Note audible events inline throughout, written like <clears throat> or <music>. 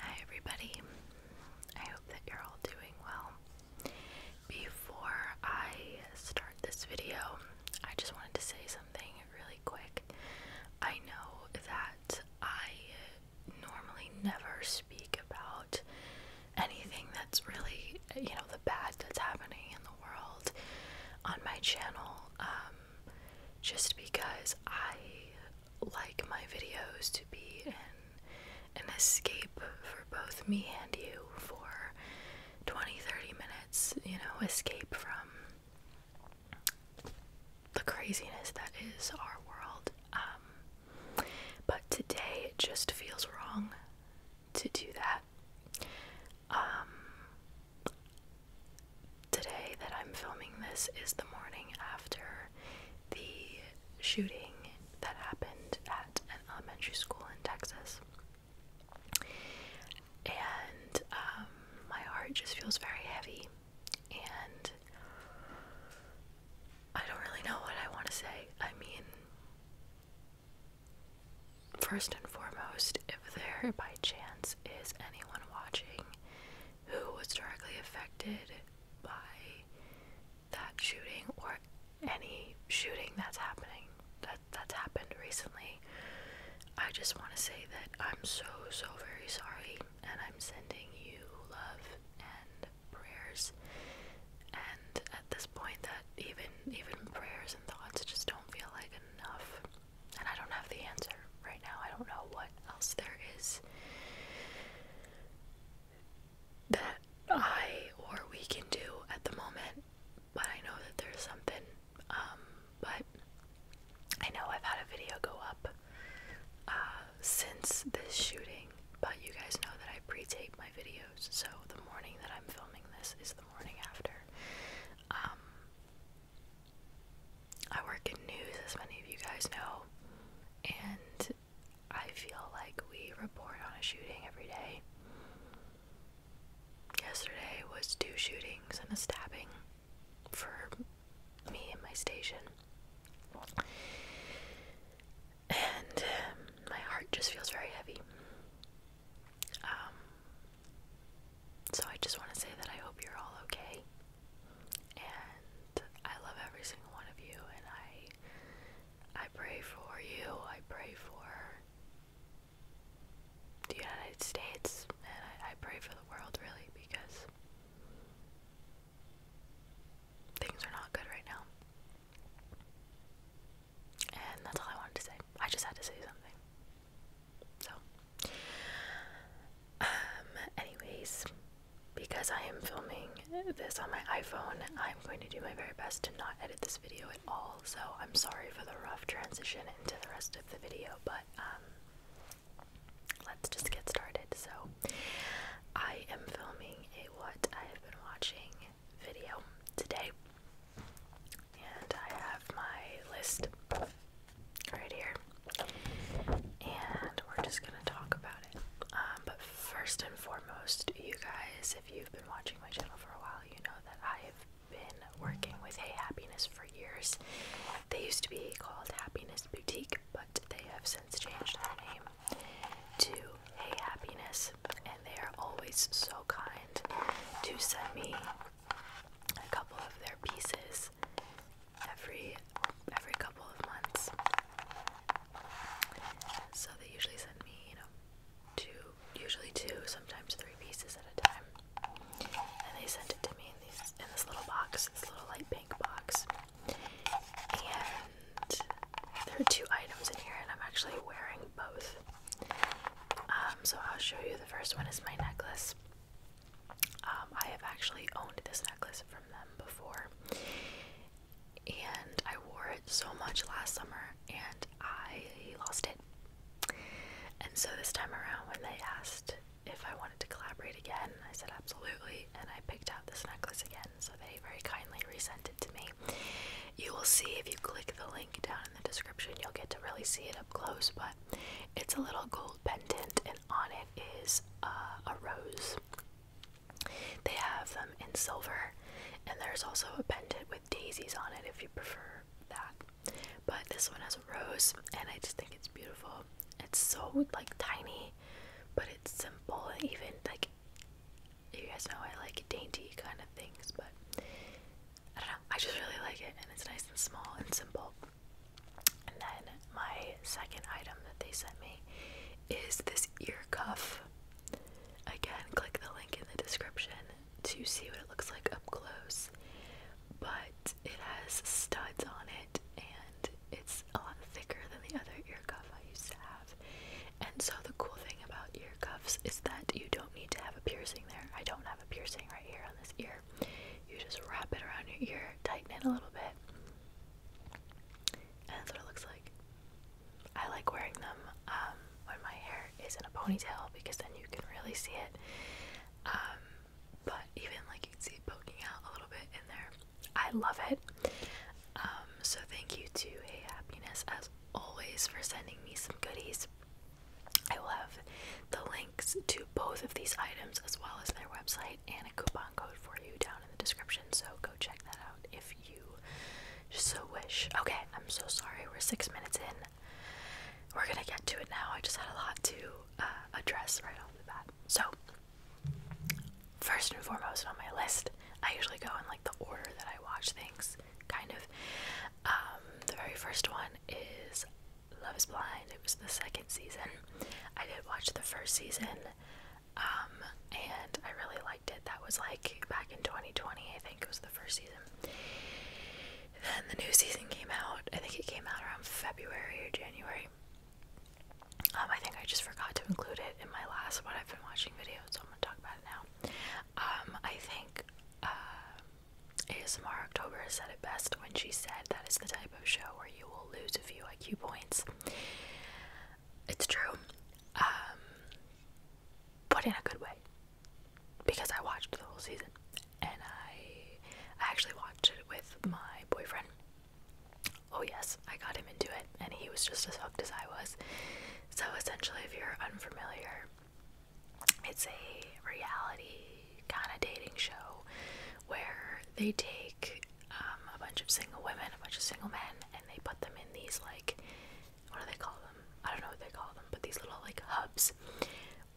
Hi, everybody. I hope that you're all doing well. Before I start this video, I just wanted to say something really quick. I know that I normally never speak about anything that's really, you know, the bad that's happening in the world on my channel um, just because I like my videos to be an, escape for both me and you for 20 30 minutes, you know, escape from the craziness that is our world. Um, but today it just feels wrong to do that. Um, today that I'm filming this is the morning after the shooting that happened at an elementary school in Texas. And um, my heart just feels very heavy, and I don't really know what I want to say. I mean, first and foremost, if there by chance is anyone watching who was directly affected by that shooting or any shooting that's happening that that's happened recently. I just want to say that I'm so so very sorry and I'm sending you love and prayers and at this point that even even prayers and thoughts just don't feel like enough and I don't have the answer right now. I don't know what else there is that I or we can do at the moment, but I know that there's something. Um, but I know I've had a video go up uh, since this shooting, but you guys know that I pre tape my videos, so the morning that I'm filming this is the morning after. Um, I work in news, as many of you guys know, and I feel like we report on a shooting every day. Yesterday was two shootings and a stabbing for me and my station. And um, my heart just feels very heavy. Um, so I just want to say that I hope you're all okay. And I love every single one of you and I I pray for you. I pray for the United States and I, pray for the world really because things are not good right now. And that's all I wanted to say. I just had to say something. So um, anyways, because I am filming this on my iPhone, I'm going to do my very best to not edit this video at all. So I'm sorry for the rough transition into the rest of the video, but um, let's just get started. So I am filming a what I have been watching video today, and I have my list right here. And we're just going to talk about it. Um, but first and foremost, you guys, if you've been watching my channel for a while, you know that I've been working with Hey Happiness for years. They used to be called Happiness Boutique, but they have since changed their name to Hey Happiness, and they are always so kind to send me a couple of their pieces once every every couple of months. So they usually send me, you know, two, usually two, sometimes three pieces at a time. And they sent it to me in these in this little box, this little light pink box. And there are two items in here, and I'm actually wearing both. Um, so I'll show you. The first one is my necklace. Um, I have actually owned this necklace from them before, and I wore it so much last summer, and I lost it. And so this time around, when they asked if I wanted to collaborate again, I said absolutely, and I picked out this necklace again. So they very kindly resent it to me. You will see if you click the link down in the description, you'll get to really see it up close, but it's a little gold pendant, and on it is uh, a rose. They have them in silver, and there's also a pendant with daisies on it if you prefer that. But this one has a rose, and I just think it's beautiful. It's so like tiny, but it's simple, and even like you guys know I like dainty kind of things, but I don't know, I just really like it, and it's nice and small and simple. And then my second item that they sent me is this ear cuff. Again, click the link in the description to see what it looks like up close. But it has studs on it and it's a lot thicker than the other ear cuff I used to have. And so the cool thing about ear cuffs is that you don't need to have a piercing there. I don't have a piercing right here on this ear. You just wrap it around your ear, tighten it a little bit, and that's what it looks like. I like wearing them um, when my hair is not a ponytail because then you can really see it. Um, but even like you can see it poking out a little bit in there. I love it. Um, so thank you to Hey Happiness as always for sending me some goodies. I will have the links to both of these items as well as their website and a coupon code for you down in the description, so go check that out if you so wish. Okay, I'm so sorry. We're six minutes in. We're gonna get to it now. I just had a lot to uh, address right off the bat. So, first and foremost on my list, I usually go in like the order that I watch things, kind of. Um, the very first one is Love is Blind. It was the second season. I did watch the first season, um, and I really liked it. That was like back in 2020, I think it was the first season. Then the new season came out. I think it came out around February or January. Um, I think I just forgot to include it in my last one. I've been watching videos, so I'm gonna talk about it now. Um, I think uh, ASMR October said it best when she said that is the type show where you will lose a few IQ points. It's true, um, but in a good way. Because I watched the whole season, and I, I actually watched it with my boyfriend. Oh yes, I got him into it, and he was just as hooked as I was. So essentially, if you're unfamiliar, it's a reality kind of dating show where they take um, a bunch of single women, a bunch of single men, and they put them in these like what do they call them? I don't know what they call them, but these little like hubs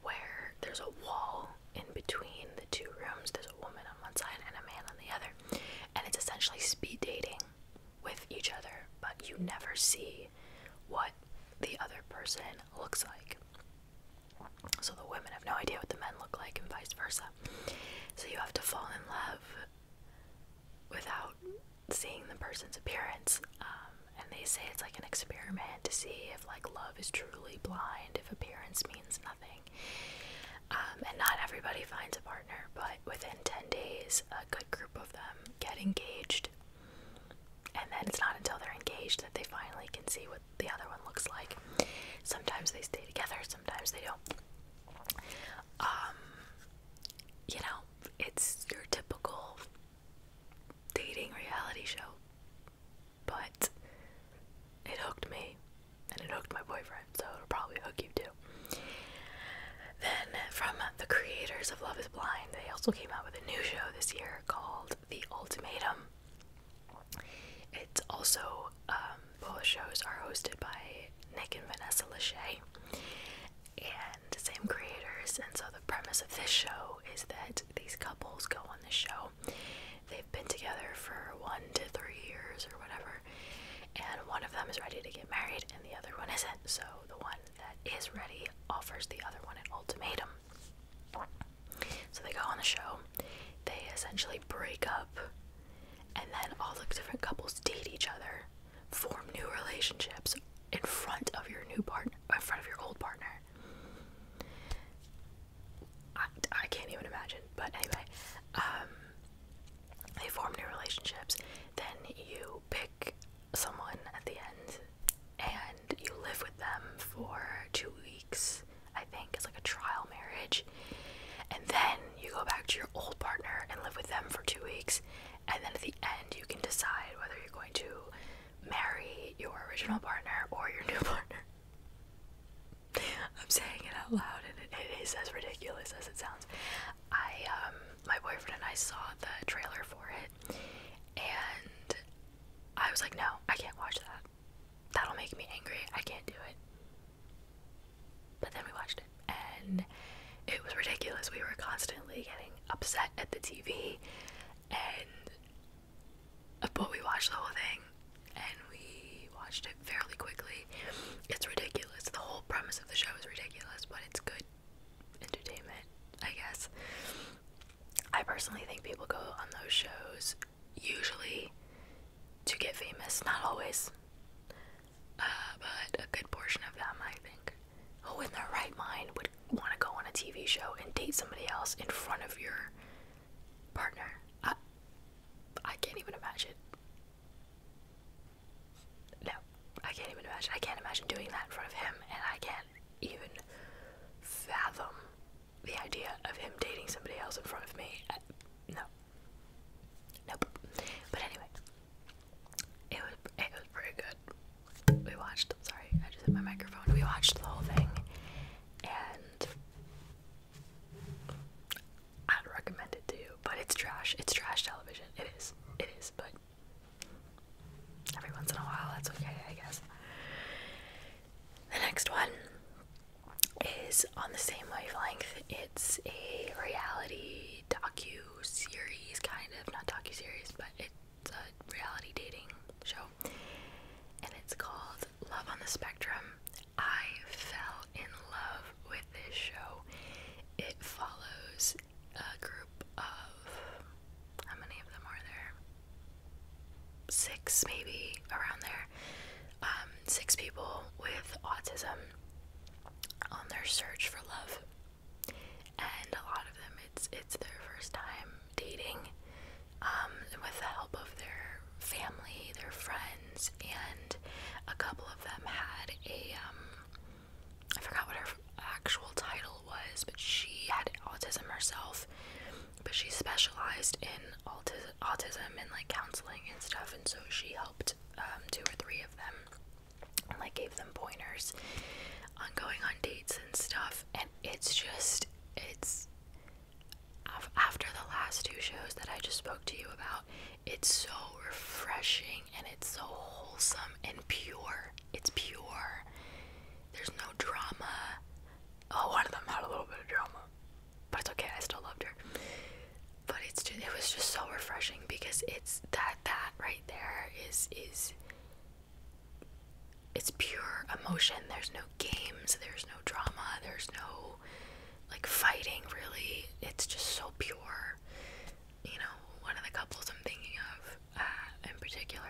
where there's a wall in between the two rooms. There's a woman on one side and a man on the other, and it's essentially speed dating with each other, but you never see what the other person looks like. So the women have no idea what the men look like, and vice versa. So you have to fall in love without seeing the person's appearance. Um, and they say it's like an experiment to see if like love is truly blind, if appearance means nothing. Um, and not everybody finds a partner, but within 10 days, a good group of them get engaged. And then it's not until they're engaged that they finally can see what the other one looks like. Sometimes they stay together, sometimes they don't. Um, you know, it's your typical dating reality show, but it hooked me and it hooked my boyfriend, so it'll probably hook you too. Then, from the creators of Love is Blind, they also came out with a new show this year called the ultimatum. It's also um, both shows are hosted by Nick and Vanessa Lachey, and same creators. And so the premise of this show is that these couples go on this show. They've been together for one to three years or whatever, and one of them is ready to get married, and the other one isn't. So the one that is ready offers the other one an ultimatum. So they go on the show, they essentially break up, and then all the different couples date each other, form new relationships in front of your new partner, in front of your old partner. I, I can't even imagine, but anyway, um, they form new relationships. Then you pick someone at the end, and you live with them for two weeks. I think. It's like a trial marriage. And then you go back to your old partner and live with them for two weeks. And then at the end, you can decide whether you're going to marry your original partner or your new <laughs> partner. I'm saying it out loud, and it is as ridiculous as it sounds. I, um, my boyfriend and I saw the trailer for it, and I was like, no, I can't watch that that'll make me angry. I can't do it. But then we watched it, and it was ridiculous. We were constantly getting upset at the TV, and uh, but we watched the whole thing, and we watched it fairly quickly. It's ridiculous. The whole premise of the show is ridiculous, but it's good entertainment, I guess. I personally think people go on those shows usually to get famous. Not always, uh, but a good portion of them, I think. Who in their right mind would want to go on a TV show and date somebody else in front of your partner? I can't even imagine. No, I can't even imagine. I can't imagine doing that in front of him, and I can't even fathom the idea of him dating somebody else in front of me. I, no. But anyway, it was it was pretty good. We watched. Sorry, I just hit my microphone. We watched the whole thing, and I'd recommend it to you. But it's trash. It's trash television. It is. It is. But every once in a while, that's okay, I guess. The next one is on the same wavelength. It's a reality docu series, kind of not docu series, but it's a reality dating show, and it's called Love on the Spectrum. I fell in love with this show. It follows a group of how many of them are there? six, maybe around there, um, six people with autism on their search for love, and a lot of them, it's it's their first time dating, um, with the help of their family, their friends, and a couple of them had a um, I forgot what her actual title was, but she had autism herself but she specialized in autis autism and like counseling and stuff, and so she helped um, two or three of them, and like gave them pointers on going on dates and stuff. And it's just, it's after the last two shows that I just spoke to you about, it's so refreshing and it's so wholesome and pure. It's pure. There's no drama. Oh, one of them had a little bit of drama but it's okay. I still loved her. But it's just, it was just so refreshing because it's that that right there is is it's pure emotion. There's no games. There's no drama. There's no like fighting. Really, it's just so pure. You know, one of the couples I'm thinking of uh, in particular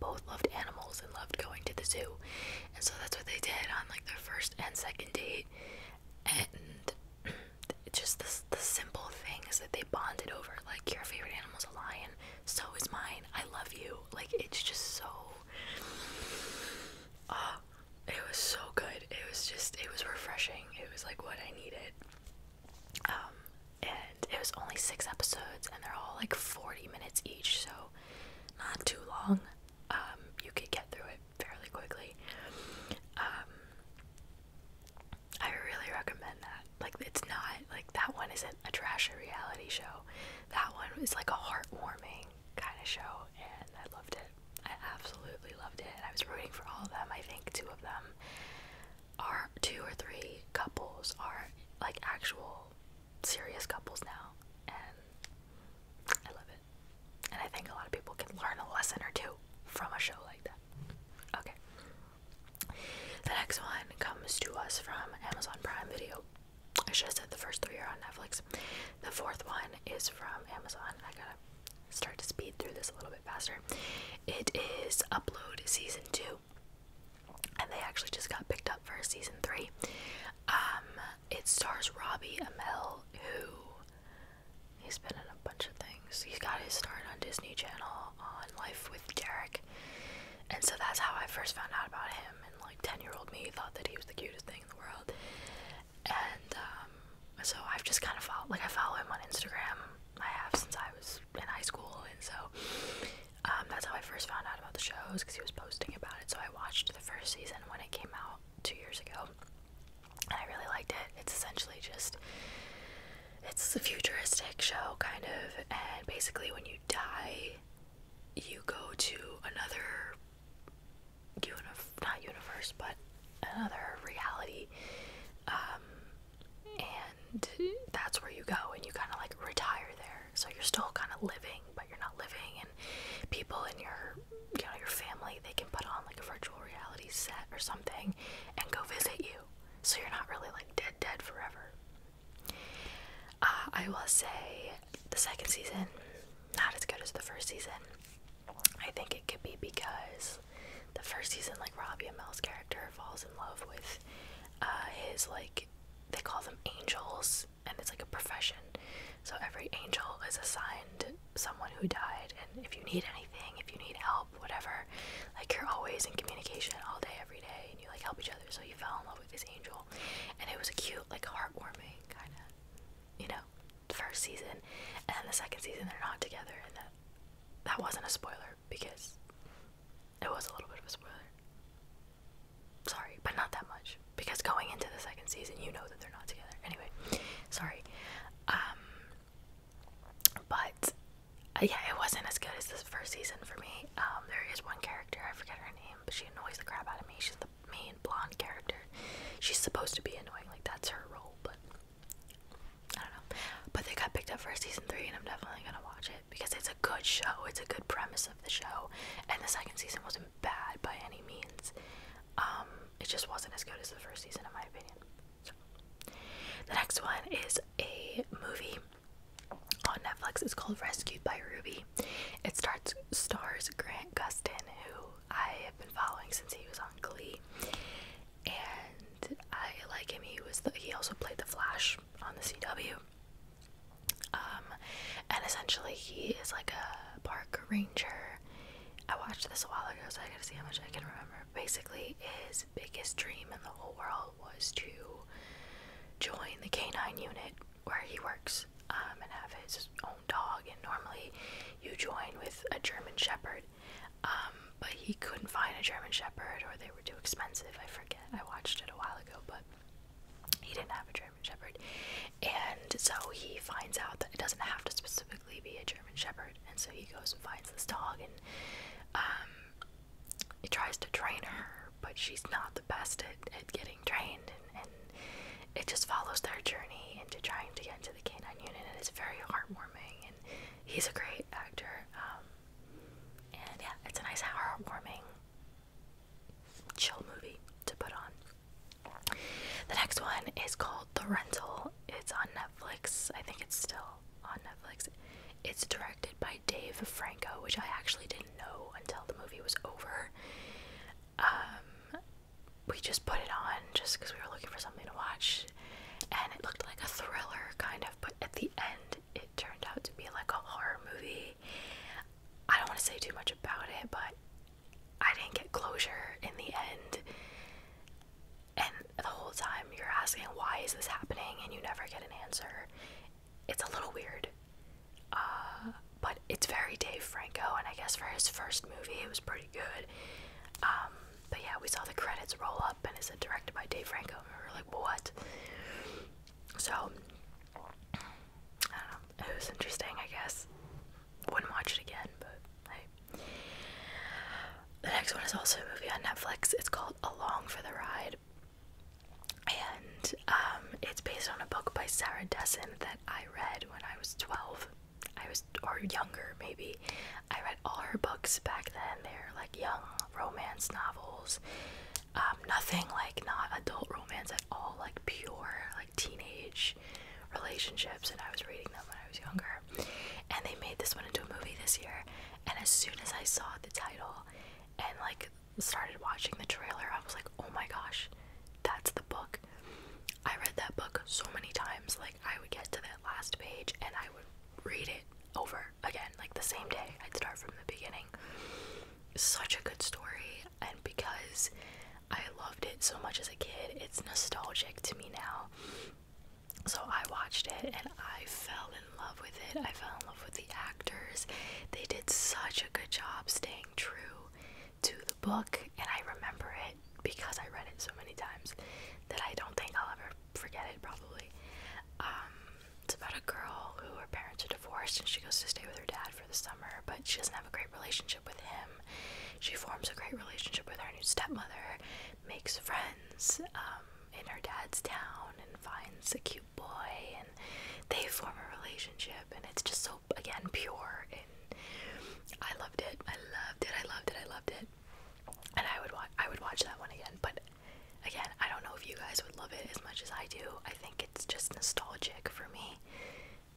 both loved animals and loved going to the zoo. And so that's what they did on like their first and second date. And <clears throat> just the, the simple things that they bonded over like, your favorite animal's a lion, so is mine, I love you. Like, it's just so. Uh, it was so good. It was just, it was refreshing. It was like what I needed. Um, and it was only six episodes, and they're all like 40 minutes each, so not too long. Um, you could get through it fairly quickly. Um, I really recommend that. Like, it's not like that one isn't a trashy reality show. That one is like a heartwarming kind of show, and I loved it. I absolutely loved it. I was rooting for all of them. I think two of them are two or three couples are like actual serious couples now, and I love it. And I think a lot of people can learn a lesson or two from a show like that. Okay. The next one comes to us from Amazon Prime Video. I should have said the first three are on Netflix. The fourth one is from Amazon. I gotta start to speed through this a little bit faster. It is Upload Season 2 and they actually just got picked up for season three. Um, it stars Robbie Amell, who he's been in a bunch of things. He's got his start on Disney Channel on Life with Derek, and so that's how I first found out about him. And like ten-year-old me thought that he was the cutest thing in the world, and um, so I've just kind of followed. Like I follow him on Instagram. I have since I was in high school, and so um, that's how I first found out about the shows because he was posting about it. So I watched the first season when it came out two years ago, and I really liked it. It's essentially just it's a futuristic show kind of, and basically when you die, you go to another unif- not universe, but another reality. Um, and that's where you go and you kind of like retire there. So you're still kind of living, but you're not living and people in your you know your family they can put on like a virtual reality set or something and go visit you so you're not really like dead dead forever uh, i will say the second season not as good as the first season i think it could be because the first season like robbie and mel's character falls in love with uh, his like they call them angels and it's like a profession. So every angel is assigned someone who died, and if you need anything, if you need help, whatever, like you're always in communication all day, every day, and you like help each other. So you fell in love with this angel, and it was a cute, like heartwarming kind of, you know, first season, and the second season they're not together, and that that wasn't a spoiler because it was a little bit of a spoiler. Sorry, but not that much because going into the second season, you know that they're not together. Anyway, sorry. Um, but uh, yeah, it wasn't as good as this first season for me. Um, there is one character I forget her name, but she annoys the crap out of me. She's the main blonde character. She's supposed to be annoying, like that's her role, but I don't know. But they got picked up for season three, and I'm definitely gonna watch it because it's a good show. It's a good premise of the show, and the second season wasn't bad by any means. Um, it just wasn't as good as the first season, in my opinion. The next one is a movie on Netflix. It's called Rescued by Ruby. It starts stars Grant Gustin, who I have been following since he was on Glee, and I like him. He was he also played the Flash on the CW. Um, and essentially, he is like a park ranger. I watched this a while ago, so I gotta see how much I can remember. Basically, his biggest dream in the whole world was to join the canine unit where he works um, and have his own dog. And normally, you join with a German Shepherd, um, but he couldn't find a German Shepherd or they were too expensive. I forget. I watched it a while ago, but he didn't have a German Shepherd, and so he finds out that it doesn't have to specifically be a German Shepherd, and so he goes and finds this dog, and um, he tries to train her, but she's not the best at, at getting trained, and, it just follows their journey into trying to get into the canine unit, and it's very heartwarming, and he's a great actor, um, and yeah, it's a nice heartwarming chill movie to put on. The next one is called The Rental. It's on Netflix. I think it's still on Netflix. It's directed by Dave Franco, which I actually didn't know until the movie was over. Um, we just put it on just because we were looking for something to watch, and it looked like a thriller, kind of, but at the end, it it turned out to be like a horror movie. I don't want to say too much about it, but I didn't get closure in the end. And the whole time you're asking, why is this happening? And you never get an answer. It's a little weird. Uh, but it's very Dave Franco, and I guess for his first movie, it was pretty good. Um, but yeah, we saw the credits roll up, and it said directed by Dave Franco, we were like, what? So, I don't know. It was interesting, I guess. Wouldn't watch it again, but hey. The next one is also a movie on Netflix. It's called Along for the Ride. And um, it's based on a book by Sarah Dessen that I read when I was 12. I was, or younger maybe. I read all her books back then. They're like young romance novels. Um, nothing like not adult romance at all, like pure like teenage relationships. And I was reading them when I was younger, and they made this one into a movie this year. And as soon as I saw the title and like started watching the trailer, I was like, oh my gosh, that's the book. I read that book so many times. Like, I would get to that last page and I would read it over again, like the same day. I'd start from the beginning such a good story, and because I loved it so much as a kid, it's nostalgic to me now. So I watched it and I fell in love with it. I fell in love with the actors. They did such a good job staying true to the book, and I remember it because I read it so many times that I don't think I'll ever forget it, probably. Um, it's about a girl who her parents are divorced and she goes to stay with her dad for the summer, but she doesn't have a great relationship with him. She forms a great relationship with her new stepmother, makes friends um, in her dad's town, and finds a cute boy, and they form a relationship. And it's just so, again, pure. And I loved it. I loved it. I loved it. I loved it. And I would watch. I would watch that one again. But again, I don't know if you guys would love it as much as I do. I think it's just nostalgic for me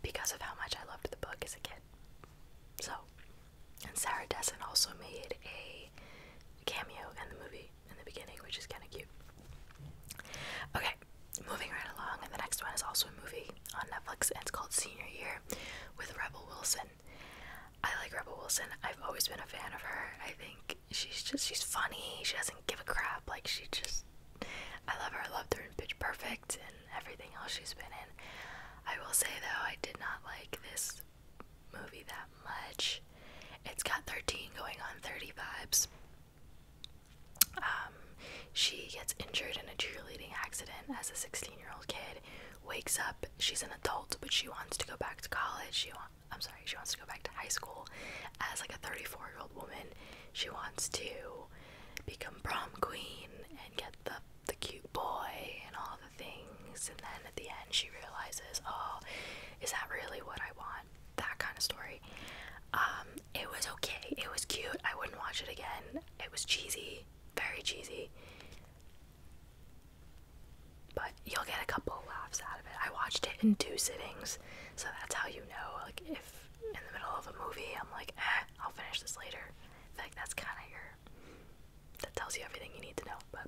because of how much I loved the book as a kid. So, and Sarah Dessen also made a cameo in the movie in the beginning, which is kind of cute. Okay, moving right along, and the next one is also a movie on Netflix, and it's called Senior Year with Rebel Wilson. I like Rebel Wilson. I've always been a fan of her. I think she's just she's funny. She doesn't give a crap. Like she just I love her. I loved her in Pitch Perfect and everything else she's been in. I will say though, I did not like this movie that much. It's got 13 going on 30 vibes. Um, she gets injured in a cheerleading accident as a 16 year old kid. Wakes up, she's an adult, but she wants to go back to college. She wa I'm sorry, she wants to go back to high school as like a 34 year old woman. She wants to become prom queen and get the the cute boy and all the things and then at the end she realizes, oh, is that really what I want? That kind of story. Um, it was okay, it was cute, I wouldn't watch it again. It was cheesy, very cheesy. But you'll get a couple of laughs out of it. I watched it in two sittings. So that's how you know, like, if in the middle of a movie I'm like, eh, I'll finish this later. In fact, that's kind of your. That tells you everything you need to know. But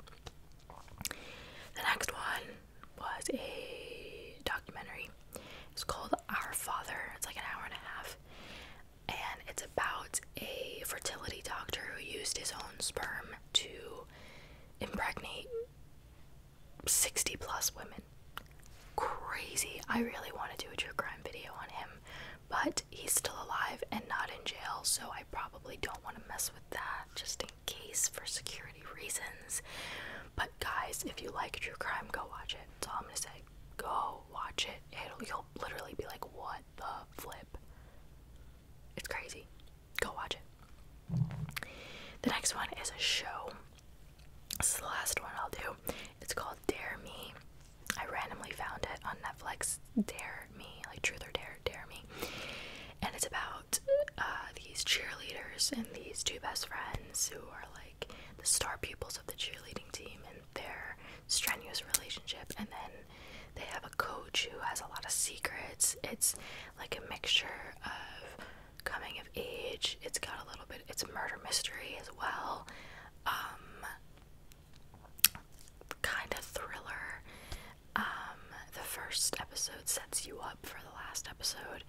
the next one was a documentary. It's called Our Father. It's like an hour and a half. And it's about a fertility doctor who used his own sperm to impregnate 60 plus women. Crazy. I really want to do a true crime video on him, but he's still alive and not in jail, so I probably don't want to mess with that just in case for security reasons. But guys, if you like true crime, go watch it. That's all I'm going to say. Go watch it. It'll, you'll literally be like, what the flip? It's crazy. Go watch it. The next one is a show this is the last one I'll do. It's called Dare Me. I randomly found it on Netflix. Dare Me, like Truth or Dare, Dare Me. And it's about uh, these cheerleaders and these two best friends who are like the star pupils of the cheerleading team and their strenuous relationship. And then they have a coach who has a lot of secrets. It's like a mixture of coming of age. It's got a little bit. It's a murder mystery as well. Um, kind of thriller. Um, the first episode sets you up for the last episode.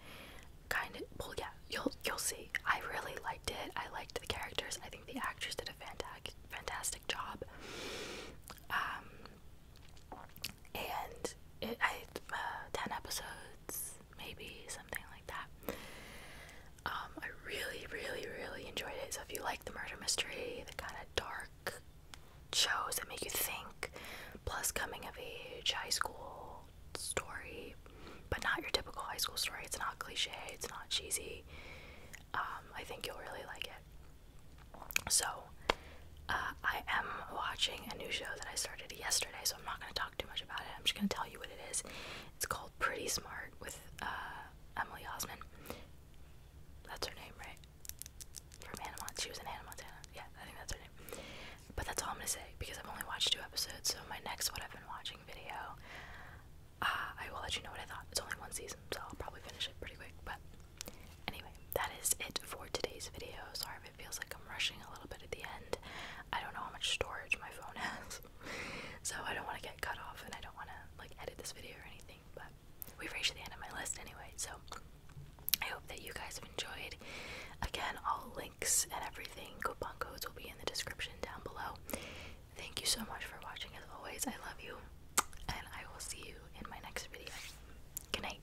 Kind of. Well, yeah. You'll you'll see. I really liked it. I liked the characters. I think the actors did a fantastic fantastic job. Um, and it, I uh, ten episodes maybe something like that. Um, I really, really, really enjoyed it. So if you like the murder mystery, the kind of dark shows that make you think, plus coming of age, high school story, but not your typical high school story. It's not cliche. It's not cheesy. Um, I think you'll really like it. So uh, I am watching a new show that I started yesterday, so I'm not going to talk too much about it. I'm just going to tell you what it is. It's called Pretty Smart with uh, Emily Osment. That's her name, right? From Hannah Montana. She was in Hannah Montana. Yeah, I think that's her name. But that's all I'm going to say because I've only watched two episodes, so my next What I've Been Watching video, uh, I will let you know what I thought. It's only one season, so I'll probably finish it pretty quick. But anyway, that is it for today's video. Sorry it feels like I'm rushing a little bit at the end. I don't know how much storage my phone <laughs> has, so I don't want to get cut off, and I don't want to like edit this video or anything. But we've reached the end of my list anyway, so I hope that you guys have enjoyed. Again, all links and everything, coupon codes will be in the description down below. Thank you so much for watching. As always, I love you, and I will see you in my next video. Good night.